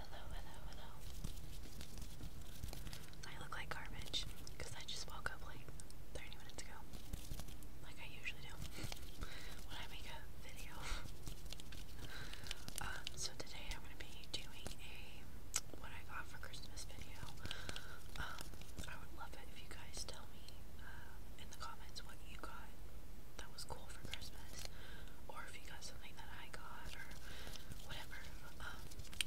Hello, hello, hello. I look like garbage because I just woke up like 30 minutes ago. Like I usually do when I make a video. Um, so today I'm gonna be doing a what I got for Christmas video. Um, I would love it if you guys tell me uh, in the comments what you got that was cool for Christmas, or if you got something that I got, or whatever. Um,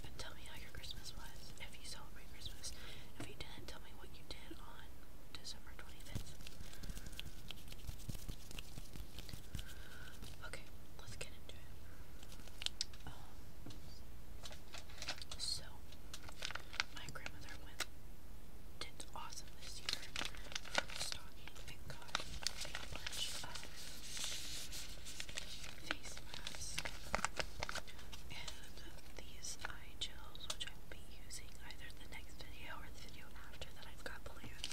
and tell me how your Christmas was, if you celebrate Christmas. If you didn't, tell me what you did on December 25th. Okay, let's get into it. Um, so, my grandmother went did awesome this year belonging and and these eye gels, which I will be using either in the next video or the video after that I've got planned.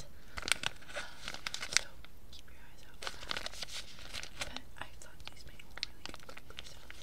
so keep your eyes out for that. But I thought these made really good crinkly sounds.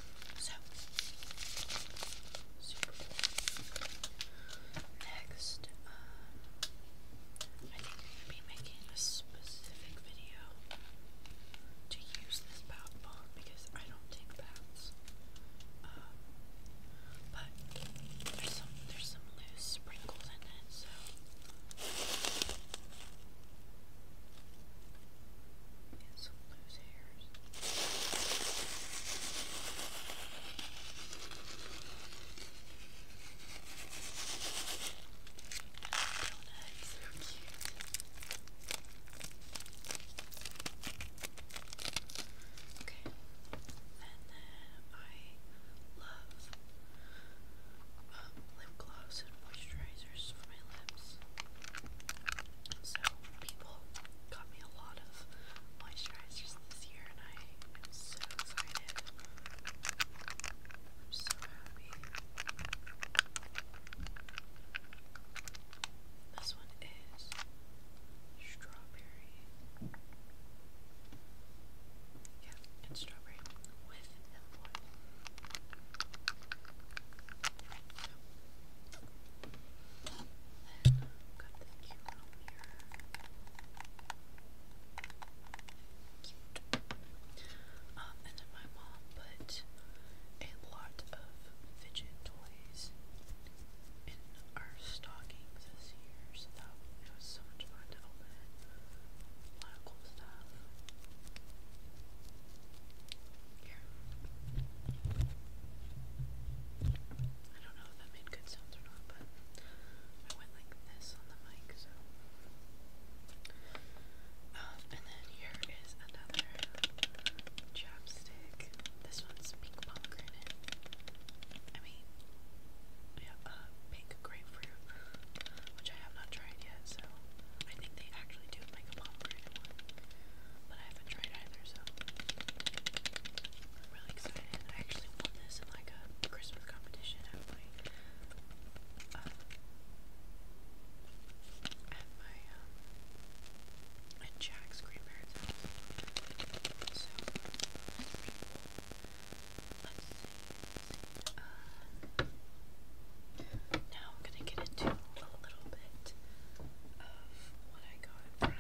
So, super Next, uh, I think I'm gonna be making a specific video to use this bath bomb because I don't take baths. Um, but there's some there's some loose sprinkles in it, so some loose hairs. Okay, and then I love um, lip gloss and moisturizers for my lips. So people got me a lot of moisturizers this year and I am so excited. I'm so happy. This one is strawberry. Yeah, it's strawberry with envoy. Then i and then my mom put a lot of fidget toys in our stockings this year, so it was so much fun to open A lot of cool stuff. Here. I don't know if that made good sounds or not, but I went like this on the mic, so. Um, and then here is another chapstick. This one's pink pomegranate. I mean, yeah, uh, pink grapefruit, which I have not tried yet, so I think they actually do make a pomegranate one. But I haven't tried either, so I'm really excited. I actually won this in like a Christmas competition at my uh, at my um at Jack's grandparents' So Let's see. let uh, now I'm gonna get into a little bit of what I got from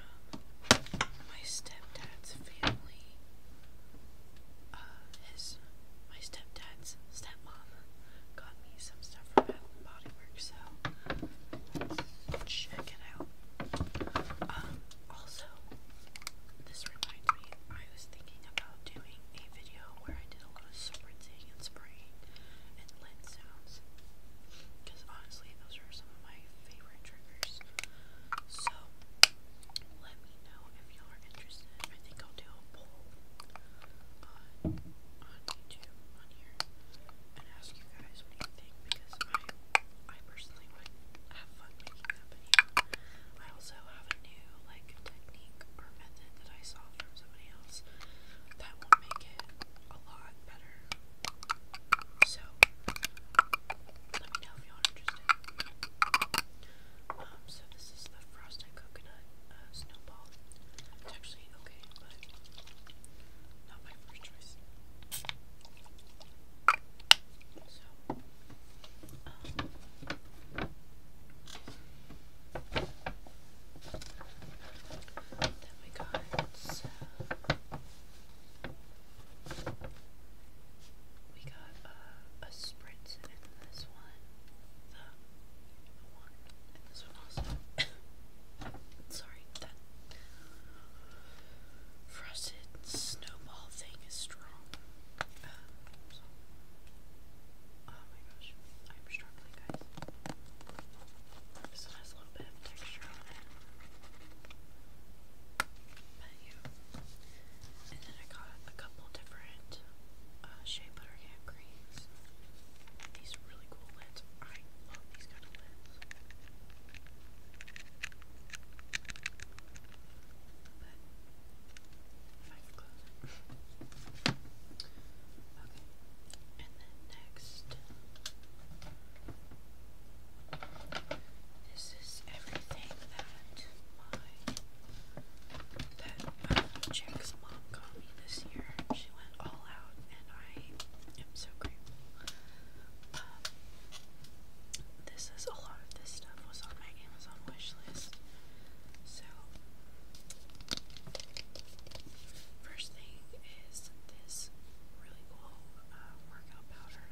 my stepdad's family. Uh, his, my stepdad's stepmom got me some stuff from Bath Body Works, so check it out. Um, also, this reminds me, I was thinking about doing a video where I did a lot of spritzing and spraying and lens sounds, because honestly, those are some of my favorite triggers. So let me know if y'all are interested. I think I'll do a poll on uh, on YouTube on here and ask you guys what you think because I personally would have fun making that I also have a new like technique or method that I saw from somebody else that will make it a lot better so, let me know if y'all are interested. Um, so this is the frosted coconut uh, snowball. It's actually okay, but not my first choice. So, um, then we got uh, we got uh, a sprint in this one. this one also. Sorry, that frosted snowball thing is strong. Um, oh my gosh, I'm struggling, guys. This has little bit of texture on it. But yeah. And then I got a couple different uh, shea butter hand creams. These really cool lids. I love these kind of lids. But okay. And then next, this is everything that my uh, Jack's mom got me this year. She went all out, and I am so grateful. Um, this is a lot of this stuff was on my Amazon wish So, first thing is this really cool workout powder.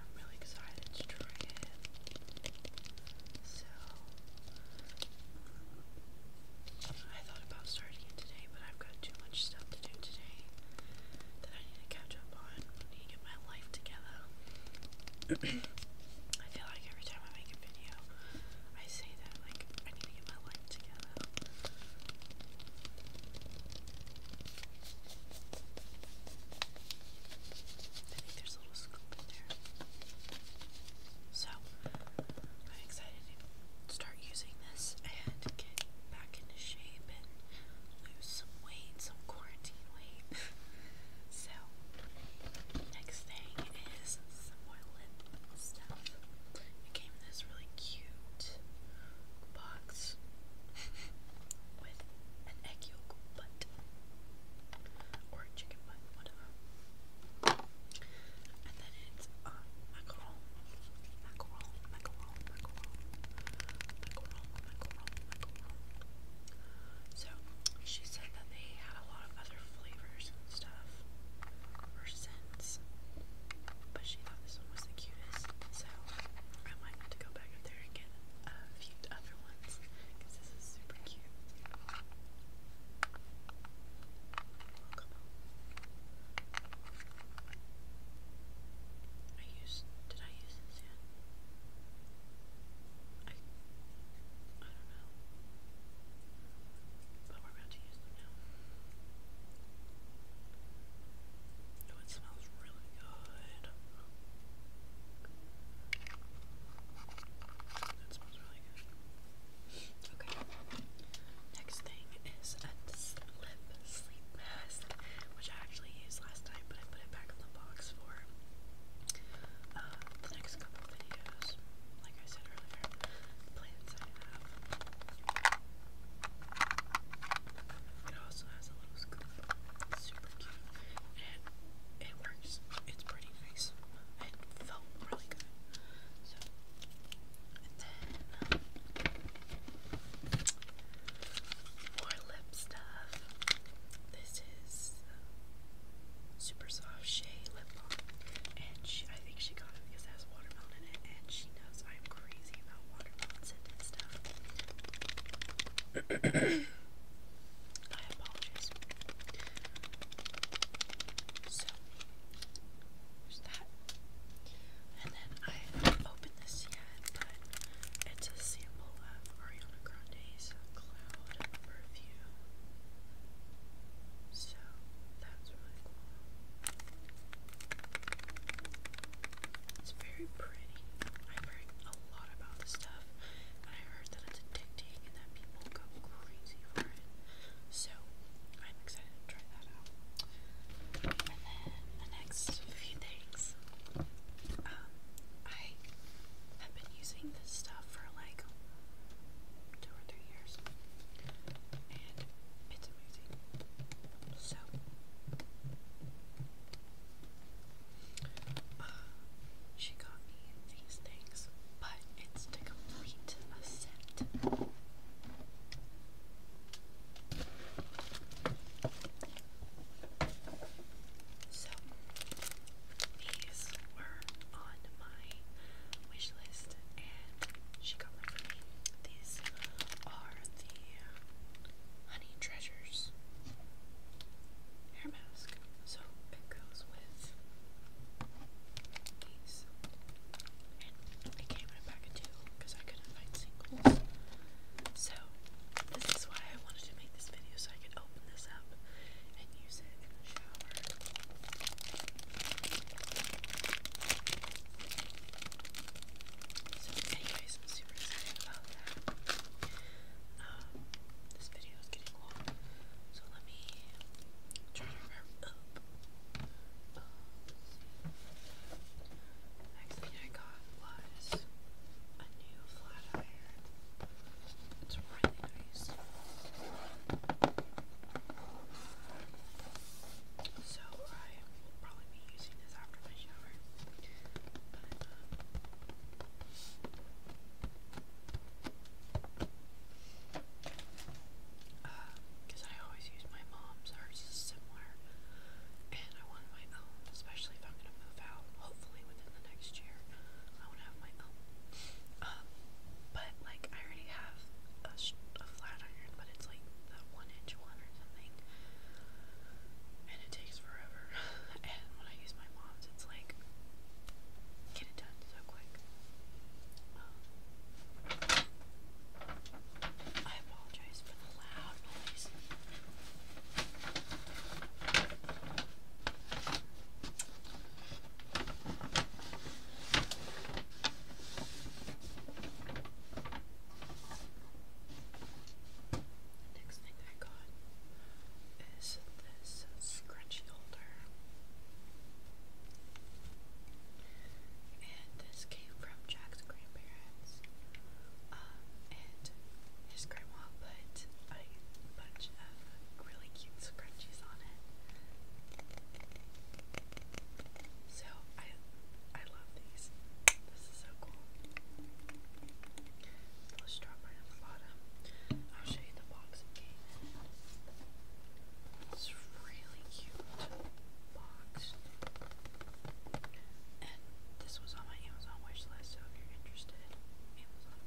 I'm really excited to try it. So, I thought about starting it today, but I've got too much stuff to do today that I need to catch up on. need to get my life together. I feel like every time I make a video, I say that, like, I need to get my life together. I think there's a little scoop there. So, I'm excited to start using this and get back into shape and lose some weight, some quarantine weight. so, next thing is some more lip stuff. It came in this really cute box. with an egg yolk butt or a chicken butt, whatever. And then it's uh, macaron, macaron, macaron, macaron, macaron, macaron, macaron. So she said that they had a lot of other flavors and stuff plants. But she thought this one was the cutest, so I might have to go back up there and get a few other ones because this is super cute. I used. Did I use this yet? I. I don't know. But we're about to use them now it smells really good. Okay. Next thing is a sleep mask, which I actually used last time, but I put it back in the box for uh, the next couple videos. Like I said earlier, plans I have. It also has a little scoop. super cute. And it works. It's pretty nice. It felt really good. So, and then um, more lip stuff. This is um, super soft shea lip balm, and she, I think she got it because it has watermelon in it, and she knows I'm crazy about watermelon, it and So, there's that. And then I haven't opened this yet, but it's a sample of Ariana Grande's Cloud Review. So, that's really cool. It's very pretty. I've a lot about this stuff, and I heard that it's addicting and that people go crazy for it. So I'm excited to try that out. And then the next few things. Um, I have been using this stuff for like two or three years, and it's amazing. So, she got me these things, but it's to complete a set. So, these were on my wish list, and she got them for me. These are Honey Treasures hair mask. So it goes with these. And they came in a pack of because I couldn't find singles. So this is why I wanted to make this video so I could open this up and use it in the shower anyways, I'm super excited about that. Um, this video is getting long, so let me try to up. next um, thing I got was a new flat iron. It's really nice. So I will probably be using this after my shower. But, um, uh, because uh, I always use my mom's, hers is similar, and I want my own, especially if I'm going to move out, hopefully within the next year, I want to have my own, um, but, like, I already have a, a flat iron, it's like the one inch one or something. And it takes forever. and when I use my mom's, it's like, get it done so quick. Um, I apologize for the loud noise. The next thing I got is this scratchy holder. And this came from Jack's grandparents. Um, and his grandma put a bunch of really cute scrunchies on it. So I I love these. This is so cool. Let's right on the bottom. I'll show you the box it It's really cute box. And this was on my Amazon wish so if you're interested, Amazon.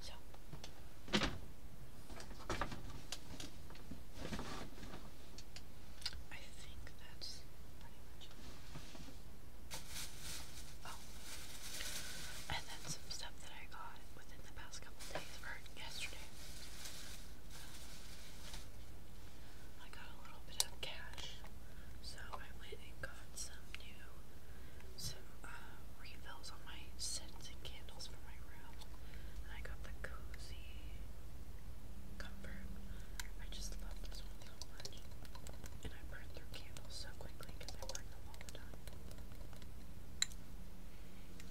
So I think that's pretty much it. Oh. and then some stuff that I got within the past couple days, yesterday. I got a little bit of cash, so I went and got some new, some uh, refills on my scents and candles for my room. And I got the cozy comfort. I just love this one so much. And I burn through candles so quickly because I burn them all the time.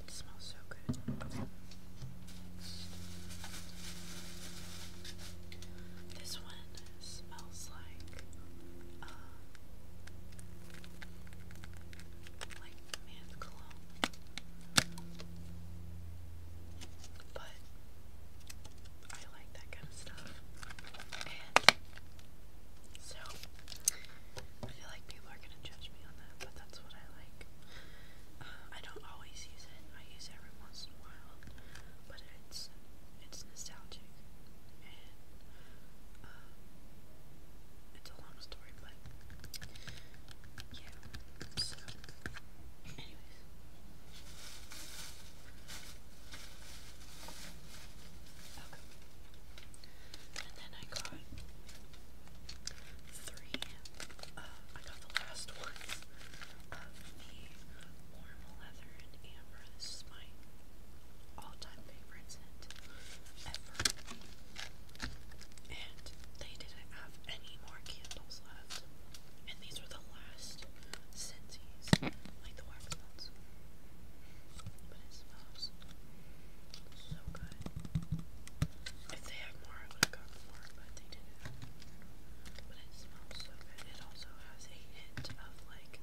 It smells so good. Okay. This one smells like um, like man's cologne. But I like that kind of stuff. And so I feel like people are gonna judge me on that, but that's what I like. Uh, I don't always use it. I use it every once in a while, but it's it's nostalgic and um, it's a long story, but yeah, so, anyways. And then I got three, uh, I got the last ones of the warm leather and amber. This is my all-time favorite scent ever. And they didn't have any more candles left. And these were the last scentsies, like the wax ones. But it smells so good. If they had more, I would have gotten more, but they didn't. But it smells so good. It also has a hint of like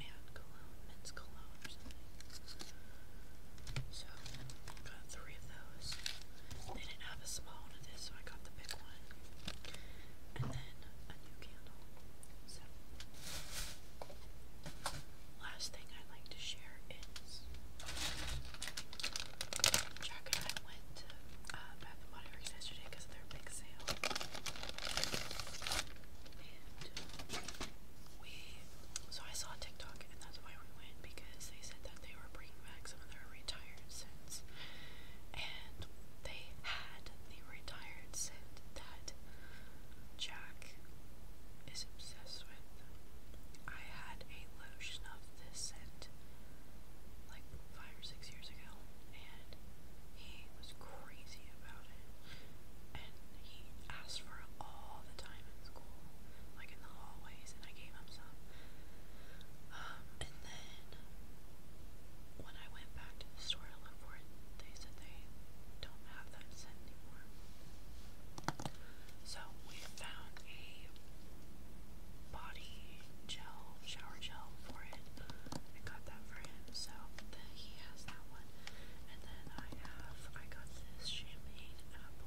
man cologne, men's cologne or something. So i got three of those. They didn't have a small one of this, so I got the big one. And then a new candle. last thing I'd like to share is Jack and I went to uh, Bath and Body Works yesterday because of their big sale we so I saw TikTok and that's why we went because they said that they were bringing back some of their retired scents and they had the retired scent that Jack is obsessed with. I had a lotion of this scent like five or six years ago and he was crazy about it and he asked for it all the time in school, like in the hallways, and I gave him some. Um, and then when I went back to the store to look for it, they said they don't have that scent anymore. So we found a body gel, shower gel for it. I got that for him, so he has that one. And then I have, I got this champagne apple.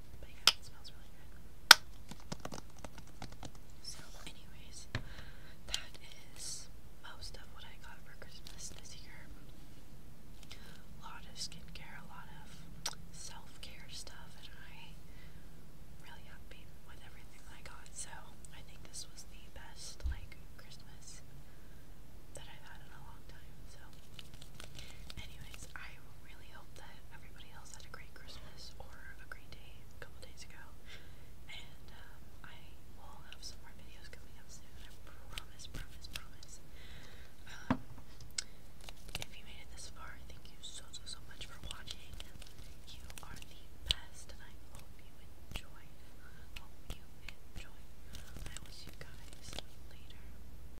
But yeah, So, anyways, that is most of what I got for Christmas this year. A lot of skincare, a lot of self care stuff, and I really happy with everything I got. So I think this was the best like Christmas that I've had in a long time. So anyway, I really hope that everybody else had a great Christmas or a great day a couple days ago. And um, I will have some more videos coming up soon. I promise, promise, promise. Um, if you made it this far, thank you so, so, so much for watching. You are the best, and I hope you enjoyed. Hope you enjoyed. I will see you guys later.